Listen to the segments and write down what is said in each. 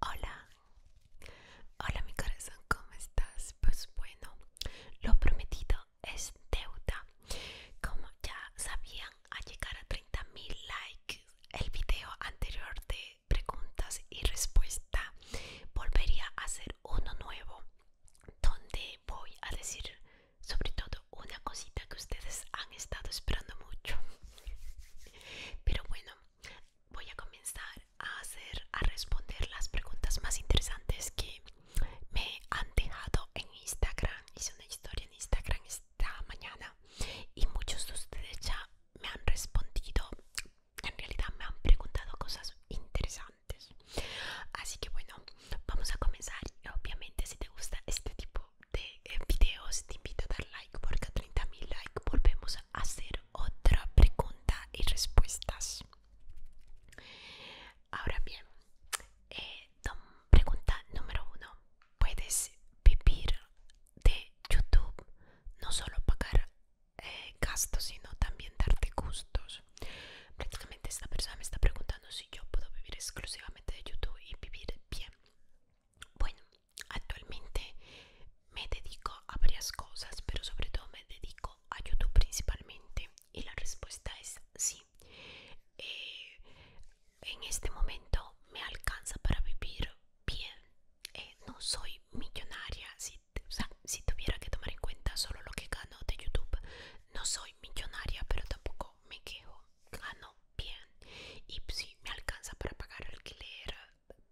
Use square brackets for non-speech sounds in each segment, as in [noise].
Hola, hola mi corazón, ¿cómo estás? Pues bueno, lo prometido es deuda. Como ya sabían, al llegar a 30.000 likes, el video anterior de preguntas y respuesta volvería a hacer uno nuevo, donde voy a decir sobre todo una cosita que ustedes han estado esperando mucho. Pero bueno, voy a comenzar a hacer, a responder las preguntas más interesantes que me han dejado en Instagram. Hice una historia en Instagram esta mañana y muchos de ustedes ya me han respondido. En realidad me han preguntado cosas interesantes. Así que bueno, vamos a comenzar. Obviamente si te gusta este tipo de videos te invito a dar like porque a 30.000 likes volvemos a hacer otra pregunta y respuestas ahora bien eh, pregunta número uno puedes vivir de youtube no solo pagar eh, gastos sino también darte gustos prácticamente esta persona me está preguntando si yo puedo vivir exclusivamente de youtube y vivir bien bueno Actualmente me dedico a varias cosas, pero sobre todo me dedico a YouTube principalmente. Y la respuesta es sí. Eh, en este momento me alcanza para vivir bien. Eh, no soy millonaria. Si, si tuviera que tomar en cuenta solo lo que gano de YouTube, no soy millonaria, pero tampoco me quejo. Gano bien. Y sí, me alcanza para pagar alquiler,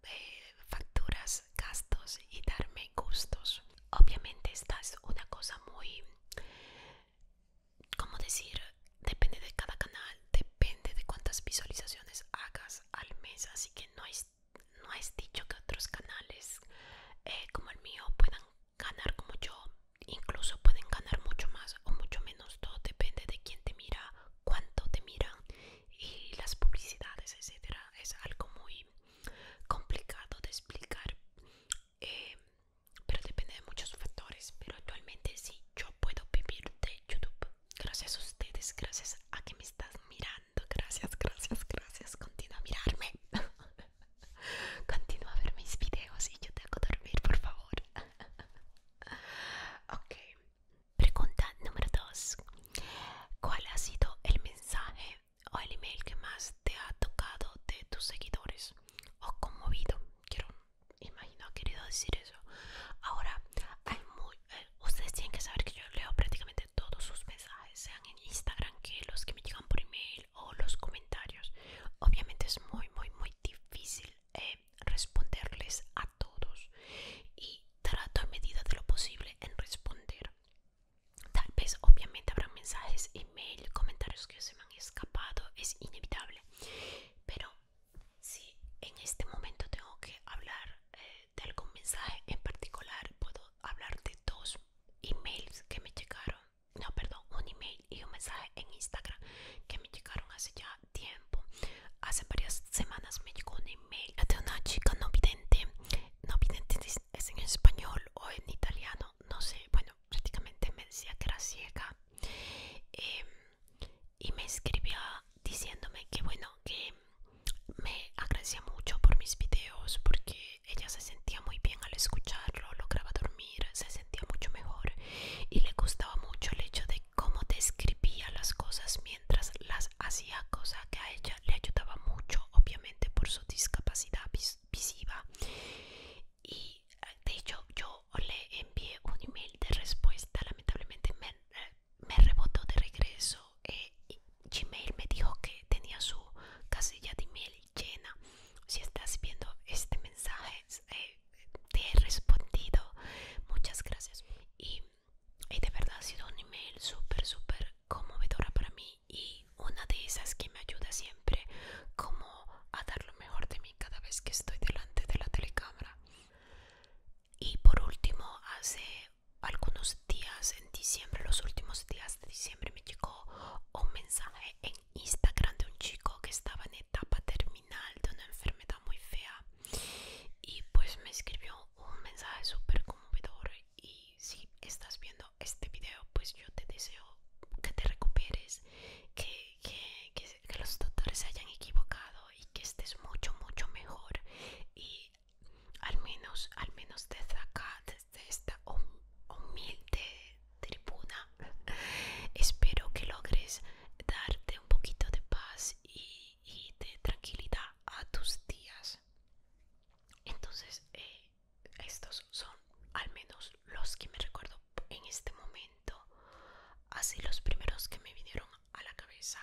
eh, facturas, gastos y darme gustos. Obviamente esta es una cosa muy, ¿cómo decir? Depende de cada canal, depende de cuántas visualizaciones hagas al mes, así que no es, no es dicho que otros canales eh, como el mío puedan ganar como yo, incluso pueden ganar mucho más o mucho menos, todo depende de quién te mira, cuánto te miran y las publicidades, etcétera. Es algo muy complicado de explicar, eh, pero depende de muchos factores. Pero actualmente sí, yo puedo vivir de YouTube. Gracias a ustedes, gracias a que me estás mirando. Gracias, gracias, gracias. Continúa a mirarme. [laughs] Continúa a ver mis videos y yo tengo que dormir, por favor. [laughs] ok, Pregunta número 2. ¿Cuál ha sido el mensaje o el email que más te ha tocado de tus seguidores o conmovido? Quiero, imagino, ha querido decir eso. Ahora, hay muy, eh, ustedes tienen que saber que yo leo prácticamente todos sus mensajes, sean en Instagram que los que me llegan por email o los comentarios. Obviamente es muy, muy, muy difícil eh, responderles a todos y trato a medida de lo posible en responder. Tal vez obviamente habrá mensajes, email, comentarios que se me han escapado, es inevitable. Pero si en este momento tengo que hablar eh, de algún mensaje en particular, puedo hablar de dos emails que me llegaron, no, perdón, un email y un mensaje en Instagram que me llegaron hace ya tiempo. Hace varias semanas me llegó un email de una chica no vidente. No vidente es en español o en italiano, no sé. Bueno, prácticamente me decía que era ciega. Em, y me escribía diciéndome que bueno, que me agradecía mucho por mis videos porque ella se sentía muy bien al escucharlo, lograba dormir, se sentía mucho mejor y le gustaba mucho el hecho de cómo describía las cosas mientras las hacía, cosa que a ella le ayudaba mucho, obviamente por su discapacidad visiva. Y de hecho yo le envié un email de respuesta, lamentablemente me, rebotó de regreso. Eh, Gmail me dijo que tenía su casilla de email llena. Si estás viendo este mensaje, eh, te he respondido. Muchas gracias y de verdad ha sido un email súper, súper conmovedora para mí y una de esas que me ayuda siempre como a dar lo mejor de mí cada vez que estoy delante de la telecámara. Y por último, hace algunos días en diciembre, los últimos días de diciembre, me llegó un mensaje en Instagram de un chico que estaba en etapa terminal de una enfermedad muy fea y pues me escribió un mensaje súper conmovedor y si estás viendo este video pues yo te deseo que te recuperes, que, los doctores se hayan equivocado y que estés mucho, mucho mejor. Y al menos, al menos desde acá, desde esta humilde tribuna, [laughs] espero que logres darte un poquito de paz y y de tranquilidad a tus días. Entonces, eh, estos son al menos los que me recuerdo en este momento, así los primeros que me vinieron a la cabeza.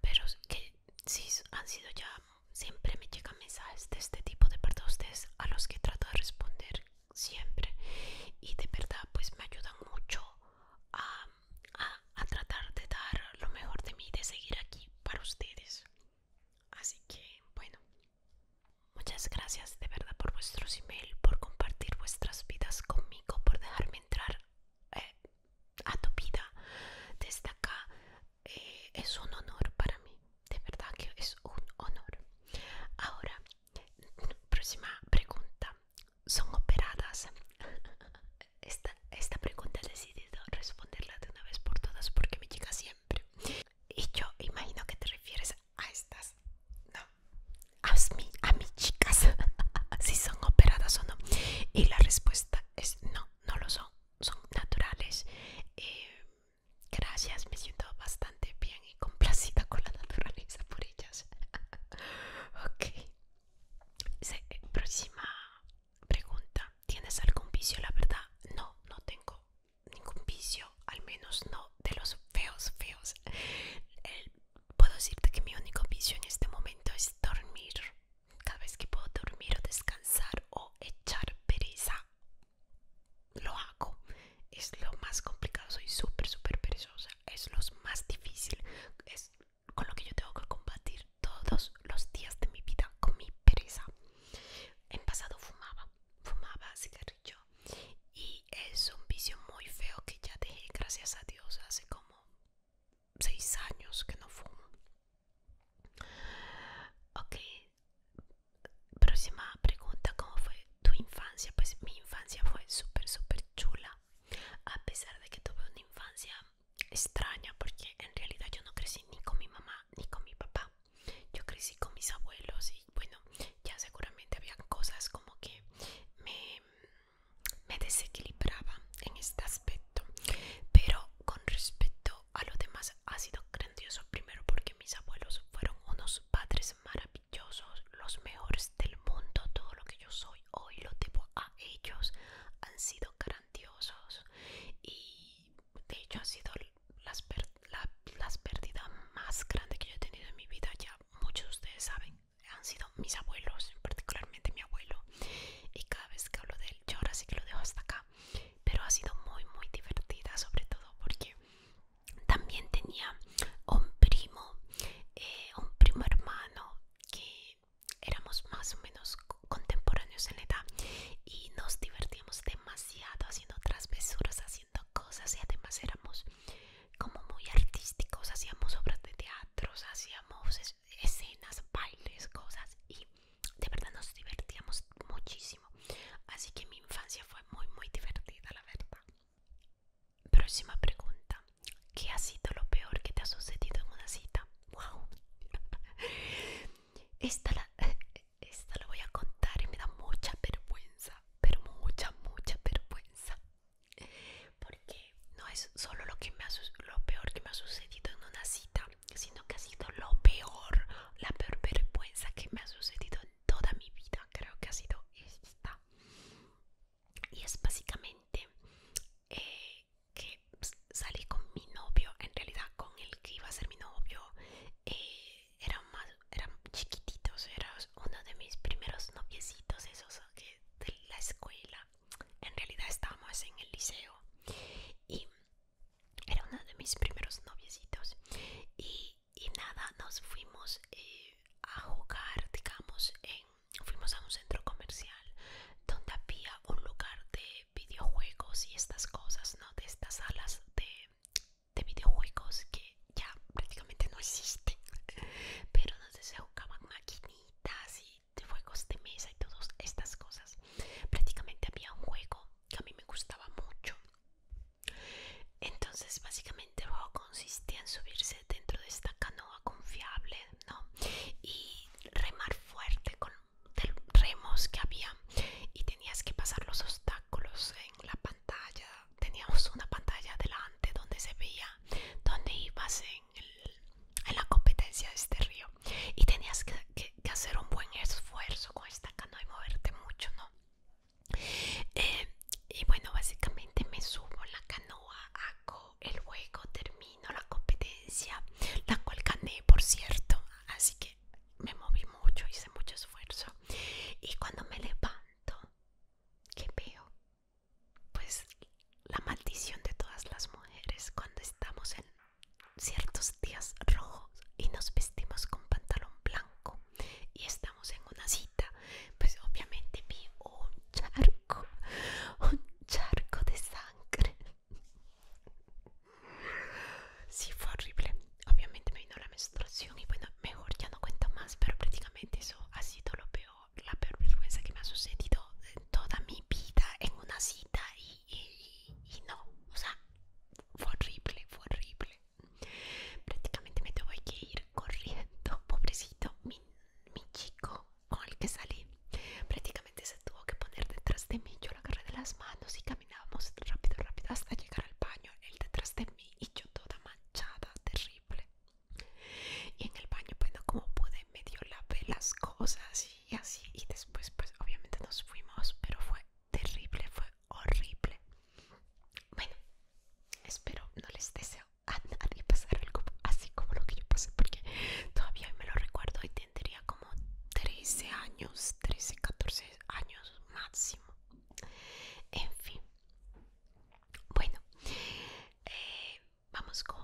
Pero que sí han sido ya, siempre me llegan mensajes de este tipo de parte ustedes a los que trato de responder siempre. Y de verdad, pues me ayudan mucho a a, tratar de dar lo mejor de mí, de seguir aquí para ustedes. Así que, bueno, muchas gracias de verdad por vuestros email, por compartir vuestras vidas conmigo, por dejarme entrar eh, a tu vida desde acá. Eh, es un honor para mí, de verdad que es un honor. Ahora, próxima pregunta son operadas? [laughs] Esta, pregunta he decidido responderla de una vez por todas porque me llega siempre. Y yo imagino que te refieres a estas, no, a, a mis chicas, [laughs] si son operadas o no. Y la respuesta es no, no lo son, son naturales. Eh, gracias, me siento bastante bien y complacida con la [laughs] naturaleza por ellas. ok, eh, próxima pregunta. ¿Tienes algún vicio? La verdad, no, no tengo ningún vicio, al menos no de los feos, feos. puedo decirte que mi único vicio en este momento es dormir. Cada vez que puedo dormir o descansar o echar pereza, lo hago. Es lo más complicado, soy súper, súper perezosa. Es lo más difícil con lo que yo tengo que combatir todos los días de mi vida con mi pereza. En pasado fumaba, fumaba cigarrillo y es un vicio muy feo que ya dejé, gracias a Dios, hace como 6 años que no fumo. Ok, próxima pregunta, ¿cómo fue tu infancia? Pues mi infancia fue súper, súper chula a pesar de que tuve una infancia extraña porque en realidad yo no crecí ni con mi mamá ni con mi papá yo crecí con mis abuelos y bueno ya seguramente había cosas como que me, me desequilibraba en este aspecto pero con respecto a lo demás ha sido grandioso primero porque mis abuelos fueron unos padres maravillosos los mejores del mundo, todo lo que yo soy hoy lo debo a ellos. Han sido grandiosos y de hecho han sido las, las pérdidas más grandes que yo he tenido en mi vida. Ya muchos de ustedes saben, han sido mis abuelos, particularmente mi abuelo. Y cada vez que hablo de él, yo ahora sí que lo dejo hasta acá. Pero ha sido muy, muy divertida, sobre todo porque también tenía un primo, eh, un primo hermano que éramos más o menos contemporáneos en edad y nos divertíamos demasiado haciendo travesuras, haciendo cosas y además éramos como muy artísticos, hacíamos obras de teatro, hacíamos escenas, bailes, cosas y de verdad nos divertíamos muchísimo. Así que mi infancia fue muy muy divertida, la verdad. Próxima pregunta. ¿Qué ha sido lo peor que te ha sucedido en una cita? ¡Wow! [laughs] [laughs] Esta la, voy a contar y me da mucha vergüenza, pero mucha, mucha vergüenza. Porque no es solo lo, que lo peor que me ha sucedido en una cita, sino que ha sido lo peor, la peor vergüenza que me ha sucedido en toda mi vida. Creo que ha sido esta y es básicamente eh, que salí con mi novio, en realidad con el que iba a ser mi novio, eh, eran más, eran chiquititos, era uno de mis primeros noviecitos esos que de la escuela, en realidad estábamos en el liceo y era uno de mis primeros noviecitos y, nada, nos fuimos eh, a jugar, digamos, en fuimos a un centro comercial donde había un lugar de videojuegos y estas cosas, ¿no? De estas salas de, videojuegos que ya prácticamente no existen. Pero donde se jugaban maquinitas y de juegos de mesa y todas estas cosas. Prácticamente había un juego que a mí me gustaba mucho. Entonces, básicamente, el juego consistía en subirse dentro de esta canoa confiable, ¿no? Y remar fuerte con los remos que había y tenías que pasar los obstáculos en la pantalla. Teníamos una pantalla delante donde se veía dónde ibas en, la competencia de este río y tenías que, hacer un buen esfuerzo con esta canoa y moverte mucho, ¿no? Eh, y bueno, básicamente me subo en la canoa, el juego termino la competencia, la cual gané, por cierto. Así que me moví mucho, hice mucho esfuerzo. Y cuando me levanto, ¿qué veo? Pues la maldición de todas las mujeres cuando estamos en ciertos días rojos y nos vestimos con pantalón blanco y estamos en una cita, pues obviamente vi charco, un charco de sangre. si fue horrible. Obviamente me vino la menstruación y bueno, mejor ya no cuento más, pero prácticamente eso ha sido lo peor, la peor vergüenza que me ha sucedido en toda mi vida en una cita y, no, o sea, fue horrible, fue horrible. Prácticamente me tengo que ir corriendo, pobrecito, mi, mi chico con el que salí prácticamente se tuvo que poner detrás de mí yo lo agarré de las manos y caminábamos rápido rápido hasta llegar al baño él detrás de mí y yo toda manchada terrible y en el baño bueno como pude la lavé las cosas y así y después pues obviamente nos fuimos pero fue terrible fue horrible bueno espero no les deseo a nadie pasar algo así como lo que yo pasé porque todavía me lo recuerdo y tendría como 13 años 13 14 años máximo en fin bueno eh, vamos con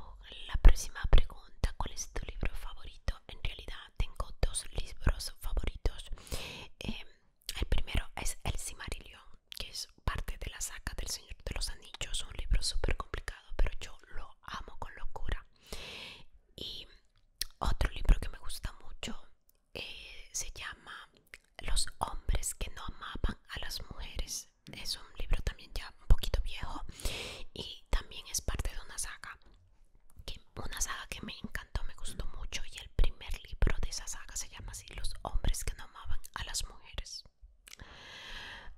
la próxima pregunta cuál es tu libro favorito en realidad tengo dos libros favoritos em, el primero es el Cimarillón que es parte de la saga del Señor de los Anillos, un libro súper complicado, pero yo lo amo con locura. Y otro libro que me gusta mucho eh, se llama Los hombres que no amaban a las mujeres. Es un libro también ya un poquito viejo y también es parte de una saga. una saga que me encantó, me gustó mucho y el primer libro de esa saga se llama así Los hombres que no amaban a las mujeres.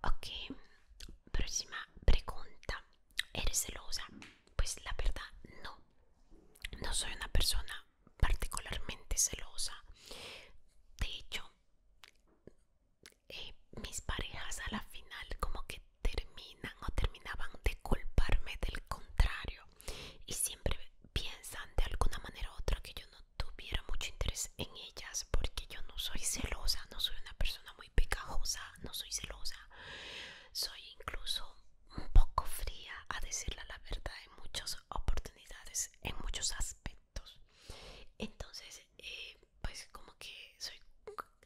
Ok, próxima pregunta. ¿Eres celosa? Pues la verdad no. No soy una persona particularmente celosa. De hecho, eh, mis parejas a la final como que terminan o terminaban de culparme del contrario y siempre piensan de alguna manera u otra que yo no tuviera mucho interés en ellas porque yo no soy celosa, no soy una persona muy pegajosa, no soy celosa, soy incluso un poco fría a decirle la verdad en muchas oportunidades, en muchos aspectos. Entonces, eh, pues como que soy,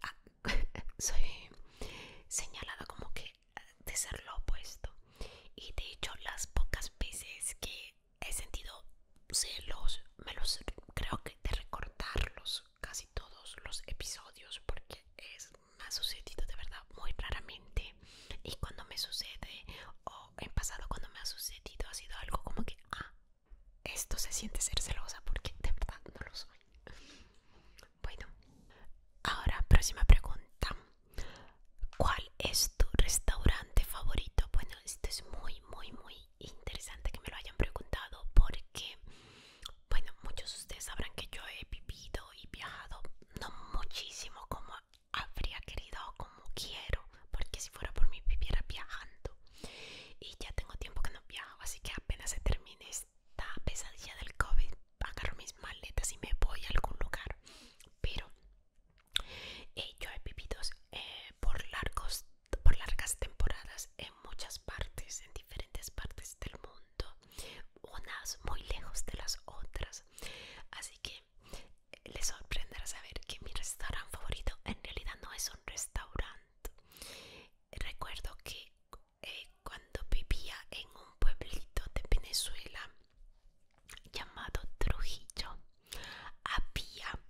ah, [laughs] soy señalada como que de ser lo opuesto. Y de hecho, las pocas veces que he sentido celos, me los creo que de recortarlos casi todos los episodios porque es me ha sucedido de verdad muy raramente y cuando me sucede o en pasado cuando me ha sucedido ha sido algo como que ah esto se siente ser celosa porque de verdad no lo soy bueno ahora próxima pregunta ¿cuál es tu restaurante favorito? bueno esto es muy muy muy interesante que me lo hayan preguntado porque, bueno, muchos de ustedes sabrán que yo he vivido y viajado, no muchísimo como habría querido o como quiero, porque si fuera por mí viviera viajando. Y ya tengo tiempo que no viajo, así que apenas se termine esta pesadilla del COVID, agarro mis maletas y me voy a algún lugar. Pero yo he vivido eh, por, largos, por largas temporadas en muchas partes, en diferentes partes del mundo, unas muy lejos de las otras. Así que eh, les sorprenderá saber que mi restaurante favorito en realidad no es un restaurante. Recuerdo que eh, cuando vivía en un pueblito de Venezuela llamado Trujillo, había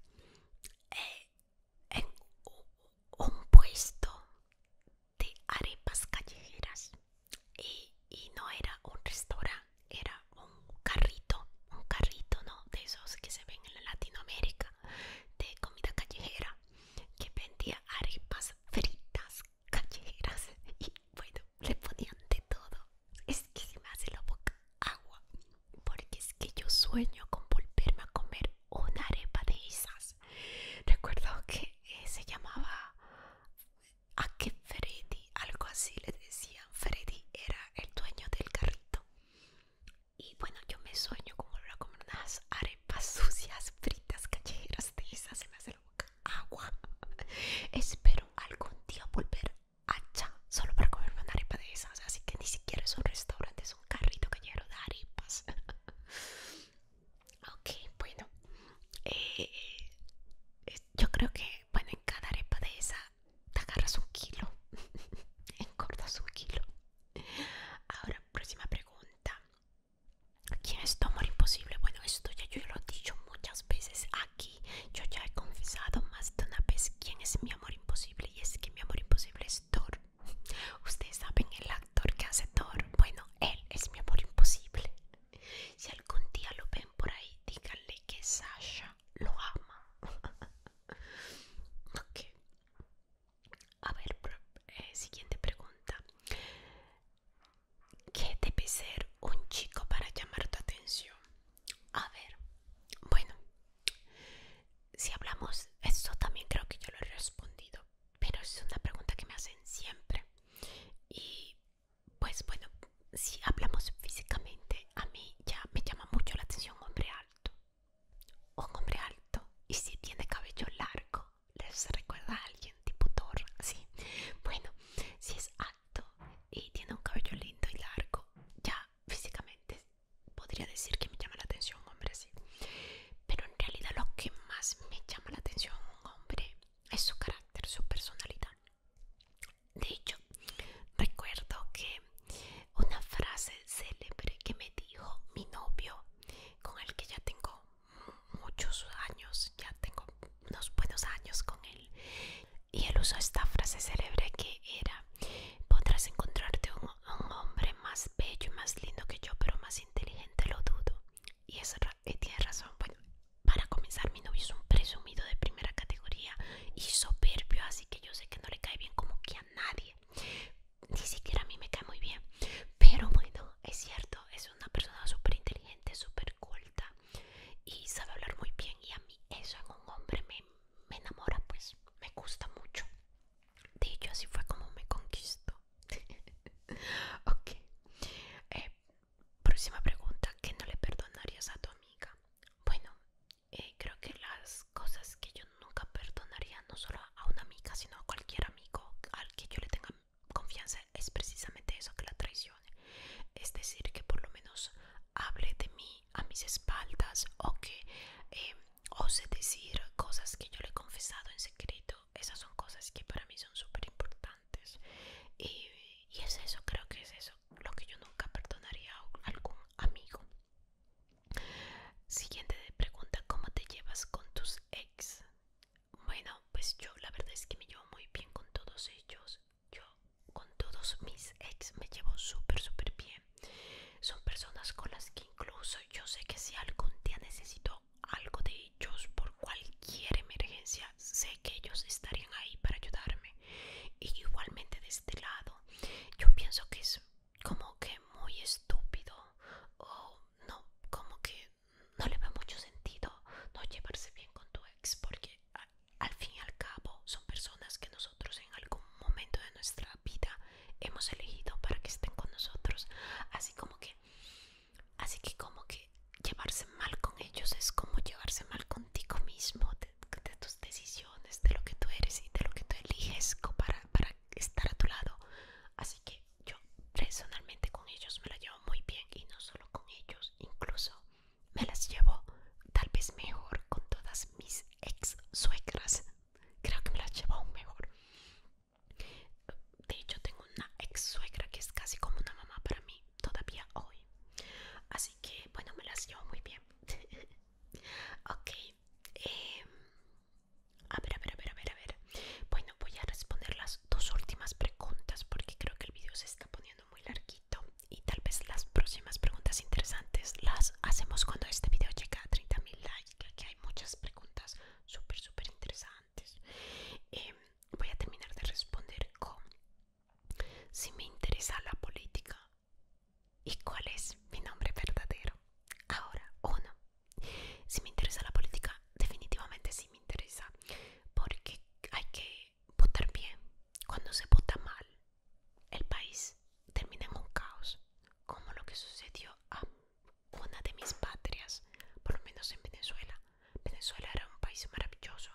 en un puesto de arepas callejeras y, no era un restaurante, era un carrito, un carrito no de esos que se ven en Latinoamérica de comida callejera que vendía arepas fritas callejeras [laughs] y bueno le ponían de todo es que se me hace la boca agua, porque es que yo sueño con volverme a comer una arepa de Isas Recuerdo que eh, se llamaba a que Freddy, algo así le decían. Freddy era el dueño del carrito. Y bueno, yo me sueño con volver a comer unas arepas [laughs] sucias, fritas, callejeras de esas. en la boca agua. [laughs] Espero algún día volver hacha ah, solo para comerme una arepa de esas. Así que ni siquiera es un restaurante, es un carrito que de arepas. [laughs] ok, bueno. Eh, eh, yo creo que, bueno, en cada arepa de esa te agarras un kilo. [laughs] Engordas un kilo. Ahora, próxima pregunta. ¿Quién es tu amor imposible? Bueno, esto ya yo lo he dicho muchas veces aquí. Yo ya he confesado más de una vez quién es mi amor imposible y es que mi amor imposible es Thor. [laughs] Ustedes saben el actor que hace Thor. Bueno, él es mi amor imposible. Si algún día lo ven por ahí, díganle que Sasha lo ama. [laughs] ok. A ver, eh, siguiente pregunta. ¿Qué debe ser un chico para llamar tu atención? A ver, bueno, si hablamos, eso también creo que yo lo he respondido, pero es una pregunta que me hacen siempre. Y pues bueno, si hablamos físicamente, a mí ya me llama mucho la atención un hombre alto. Un hombre alto. Y si tiene cabello largo, les recuerda a alguien tipo Thor, sí Bueno, si es alto y tiene un cabello lindo y largo, ya físicamente podría decir que me llama la atención un hombre así. Pero en realidad lo que más me llama la atención un hombre es su carácter, su personalidad. De hecho, recuerdo que una frase célebre que me dijo mi novio, con el que ya tengo muchos años, ya tengo unos buenos años con él, y él usó esta frase célebre que era Podrás encontrarte un, hombre más bello y más lindo que yo, pero más inteligente lo dudo. Y es, eh, tiene razón. Bueno, para comenzar, mi novio es un presumido de primera categoría y soberbio, así que yo sé que no le cae bien como que a nadie. Ni siquiera a mí me cae muy bien. Pero bueno, es cierto, es una persona súper inteligente, súper culta y sabe hablar muy bien. Y a mí eso en un hombre me me enamora pues, me gusta mucho. De ello así fue como me conquistó. [laughs] ok. Eh, próxima pregunta, ¿qué no le perdonarías a tu amiga? Bueno, eh, creo que las cosas que yo nunca perdonaría, no solo a una amiga, sino a cualquier amigo al que yo le tenga confianza, es precisamente eso que la traicione. Es decir, que por lo menos hable de mí a mis espaldas o que eh, ose decir cosas que yo le he confesado en secreto. Esas son cosas que para mí son súper importantes. Y, y es eso, creo que es eso lo que yo nunca perdonaría a algún amigo. Siguiente pregunta, ¿cómo te llevas con tus ex? Bueno, pues yo la verdad es que me llevo muy bien con todos ellos. Yo con todos mis ex me llevo súper, súper bien. Son personas con las que incluso yo sé que si algún día necesito algo de ellos por cualquier emergencia, sé que ellos estarían ahí para ayudarme. Y igualmente de este lado, yo pienso que es como que muy estúpido o no, como que no le ve mucho sentido no llevarse bien con tu ex porque al fin y al cabo son personas que nosotros en algún momento de nuestra vida hemos elegido para que estén con nosotros así como que así que como que llevarse mal con ellos es como llevarse mal contigo mismo de, tus decisiones de lo que tú eres y de lo que tú eliges para, para estar a tu lado así que yo personalmente con ellos me la llevo muy bien y no solo con ellos incluso me las llevo tal vez mejor con todas mis ex suegras. Creo que me las llevo aún mejor. De hecho, tengo una ex suegra que es casi como una mamá para mí todavía hoy. Así que, bueno, me las llevo muy bien. ok. a ver, a ver, a ver, a ver, a ver. Bueno, voy a responder las dos últimas preguntas porque creo que el vídeo se está poniendo muy larguito y tal vez las próximas preguntas interesantes las hacemos cuando este video llega a 30.000 likes? Que hay muchas preguntas súper, súper interesantes. Em, voy a terminar de responder con si me interesa la política y cuál es mi nombre verdadero. Ahora, uno, si me interesa la política, definitivamente sí me interesa, porque hay que votar bien. Cuando se vota mal, el país termina en un caos, como lo que sucedió a una de mis patrias, por lo menos en Venezuela. Venezuela era un país maravilloso.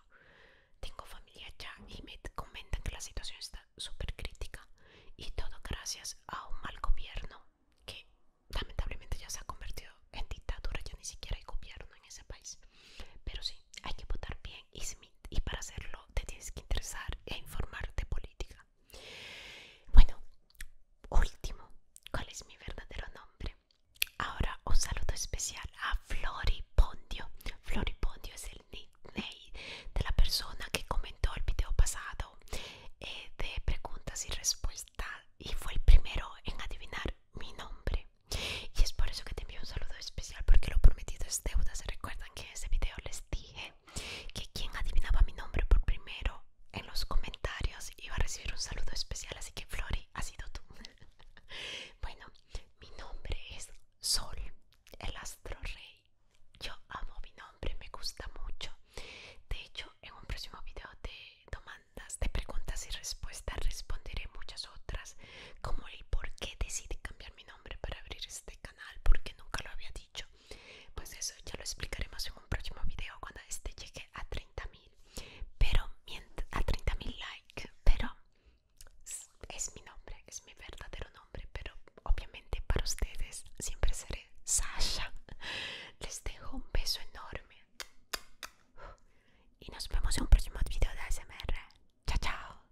Tengo familia allá y me comentan que la situación está súper crítica y todo gracias a un mal gobierno que lamentablemente ya se ha convertido en dictadura, ya ni siquiera hay gobierno en ese país. Pero sí, hay que votar bien y, y para hacerlo te tienes que interesar e informarte de política. Bueno, último, ¿cuál es mi verdadero nombre? Ahora un saludo especial a Floripondio. Floripondio es el nickname de la persona que comentó el video pasado eh, de preguntas y respuestas y fue el primero en adivinar mi nombre. Y es por eso que te envío un saludo especial porque lo prometido es deuda. Se recuerdan que ese video les dije que quien adivinaba mi nombre por primero en los comentarios iba a recibir un saludo especial, así que Flori, ha sido tú. [laughs] bueno, mi nombre es Sol, el astro rey. Yo amo mi nombre, me gusta mucho. De hecho, en un próximo video de demandas, de preguntas y respuestas, responderé muchas otras, como el por qué decidí cambiar mi nombre para abrir este canal, porque nunca lo había pues eso ya lo explicaremos en un próximo video cuando este llegue a 30.000 pero a 30.000 likes pero es mi nombre es mi verdadero nombre pero obviamente para ustedes siempre seré Sasha les dejo un beso enorme y nos vemos en un próximo video de ASMR chao chao